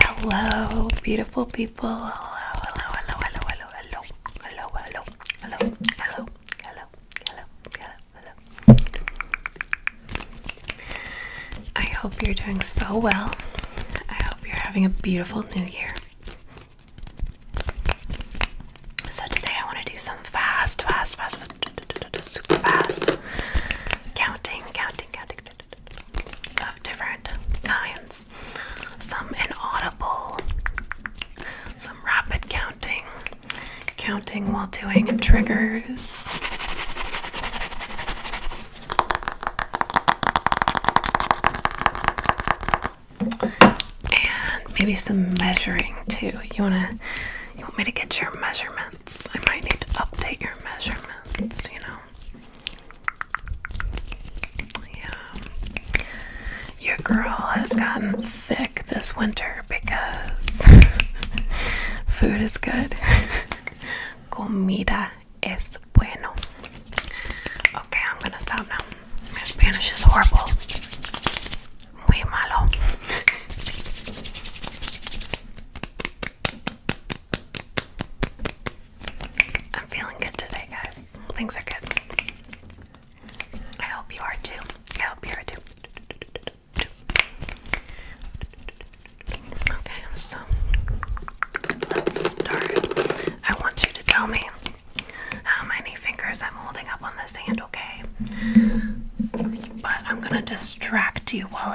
Hello, beautiful people. Hello, hello, hello, hello, hello, hello, hello, hello, hello, hello, hello, hello, I hope you're doing so well. I hope you're having a beautiful new year. So today I want to do some fast, fast, fast, fast super fast counting, counting, counting of different kinds some inaudible, some rapid counting, counting while doing triggers. And maybe some measuring too. You wanna you want me to get your measurements? I might need to update your measurements, you know. Yeah. Your girl has gotten thick this winter because food is good. Comida es bueno. Okay, I'm gonna stop now. My Spanish is horrible. Muy malo. I'm feeling good today, guys. Things are good. I hope you are too. I hope you are too. Okay, so let's start. I want you to tell me how many fingers I'm holding up on this hand, okay? But I'm gonna distract you while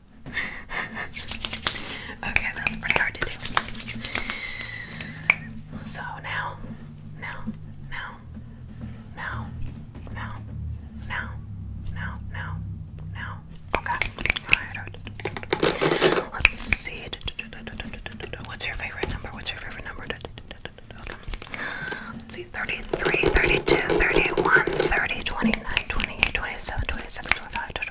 okay, that's pretty hard to do. So now, now, now, now, now, now, now, now, now. Okay. Alright. Let's see. What's your favorite number? What's your favorite number? Okay. Let's see 33, 32, 31, 30, 29, 28, 27, 26, 25, 26.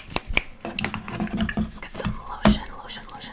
Let's get some lotion, lotion, lotion.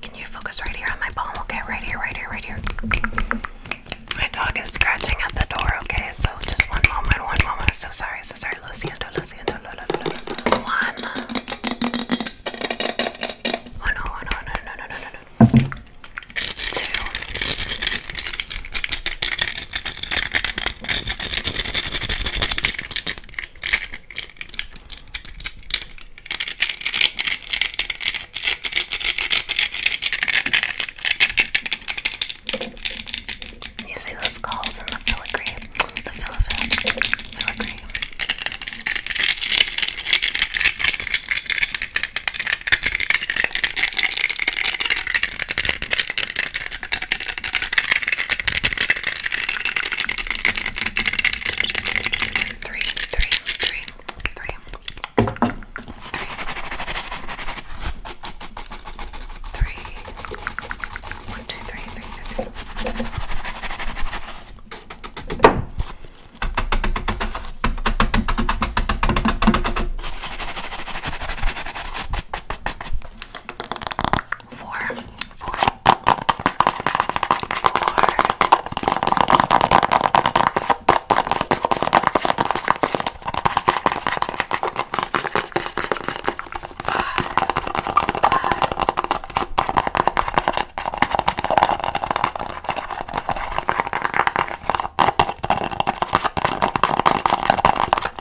Can you focus right here on my palm? Okay, right here, right here, right here. My dog is scratching at the door, okay? So just one moment, one moment. So sorry, so sorry. Luciendo, Luciendo, lo, lo, lo, lo. One. Oh, oh you see the skulls in the filigree, the filigree, filigree. Three, three, three, three, three, three. One, two, three, three, two, three four, four, four, five, five.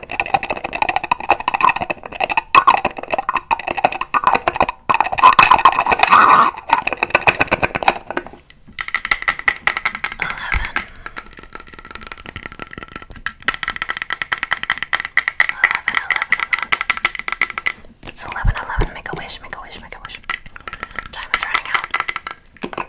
It's 11, 11. Make a wish, make a wish, make a wish. Time is running out.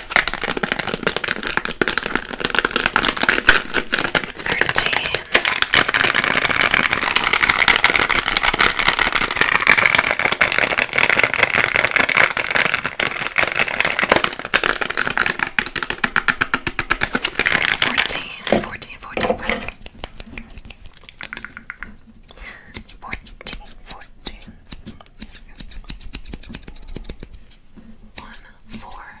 Thirteen. Fourteen. Fourteen. Fourteen. Fourteen. Fourteen. One, four,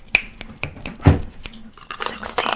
sixty. Sixty. Seventy.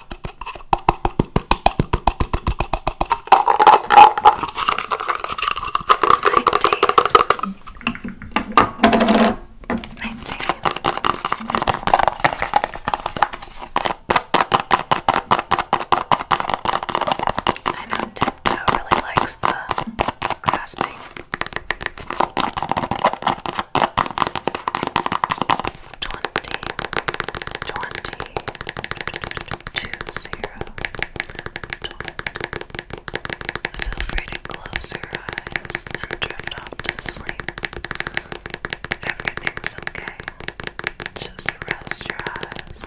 I know Tiptoe really likes the grasping twenty twenty two zero twenty. Feel free to close your eyes and drift off to sleep. Everything's okay. Just rest your eyes.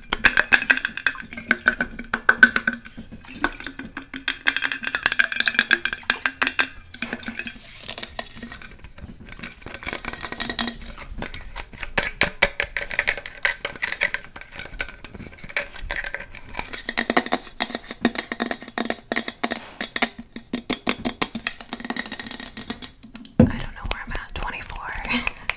I don't know where I'm at. 24.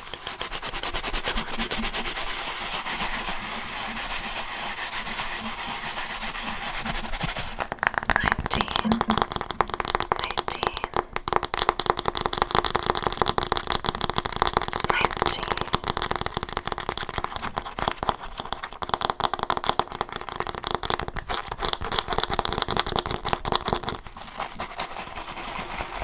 Nineteen, nineteen, nineteen. Twenty, twenty-one,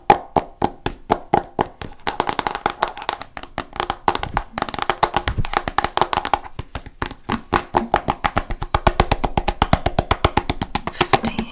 Fifteen. Fifteen.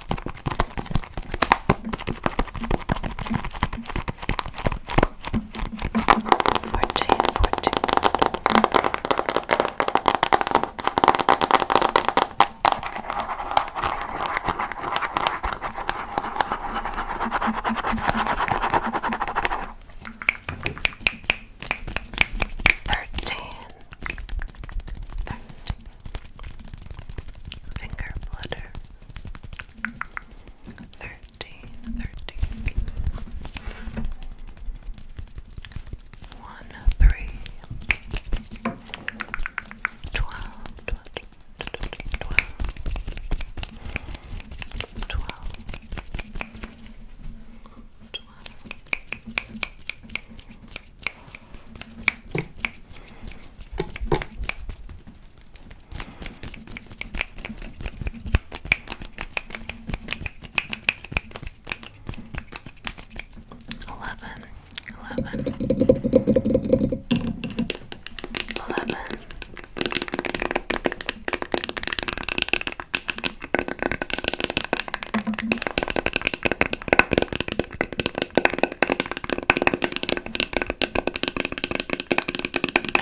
Fourteen, fourteen. Thirteen. Thirteen. Finger flutters. Thirteen, thirteen. One, three. Twelve, twelve, Eleven, eleven, eleven. I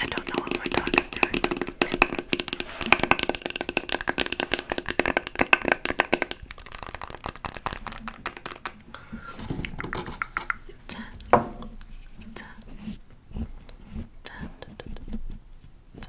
don't know what my dog is doing. da, da, da, da, da, da.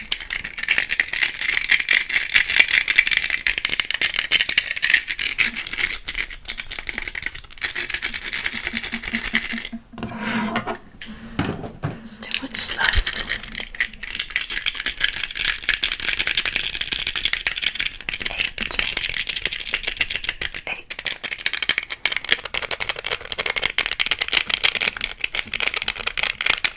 There's too much left. Eight. Eight.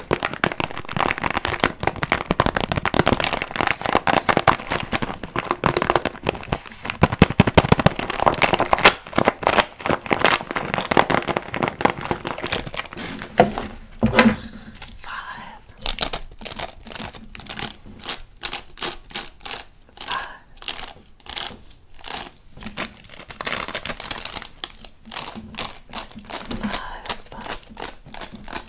six. Five. Five. Five, five,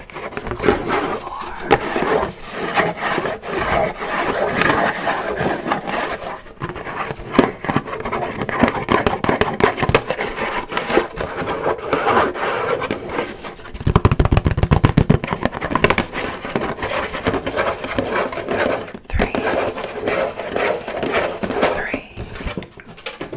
Three. Three.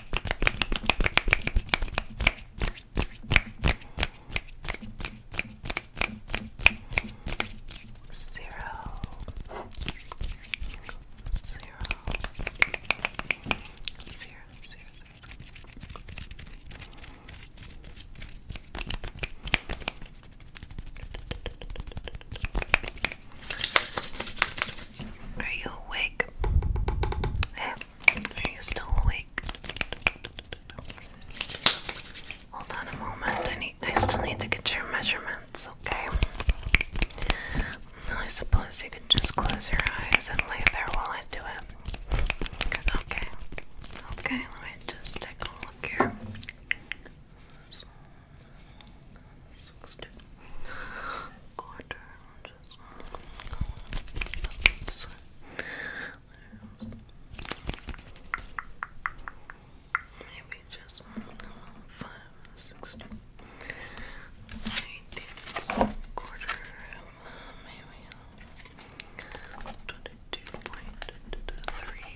Zero. Zero. Zero. Zero. Zero. Are you awake? Are you still awake? Hold on a moment. I need. I still need to get your measurements. Okay. I suppose you could just close your eyes and lay there while I do it. Okay. Okay. Let me just take a look here. This looks good. Quarter, just so, maybe just five, six, eighteen, quarter, maybe twenty-two point three,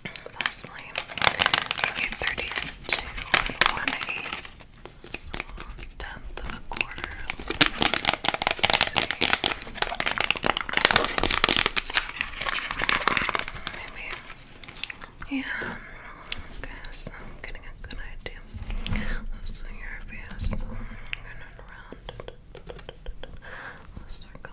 Firstly, okay, 32 a quarter. Yeah. Okay, so I'm getting a good idea. Let's do your face. I'm gonna Let's circle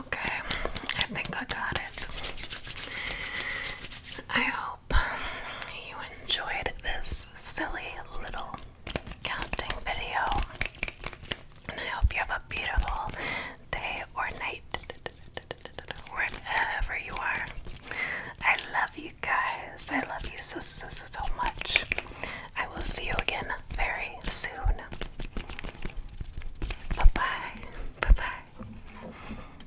Okay, I think I got it. I hope you enjoyed this silly little counting video. And I hope you have a beautiful day or night wherever you are. I love you guys. I love you so, so, so, so much. I will see you again very soon. Bye bye. Bye bye.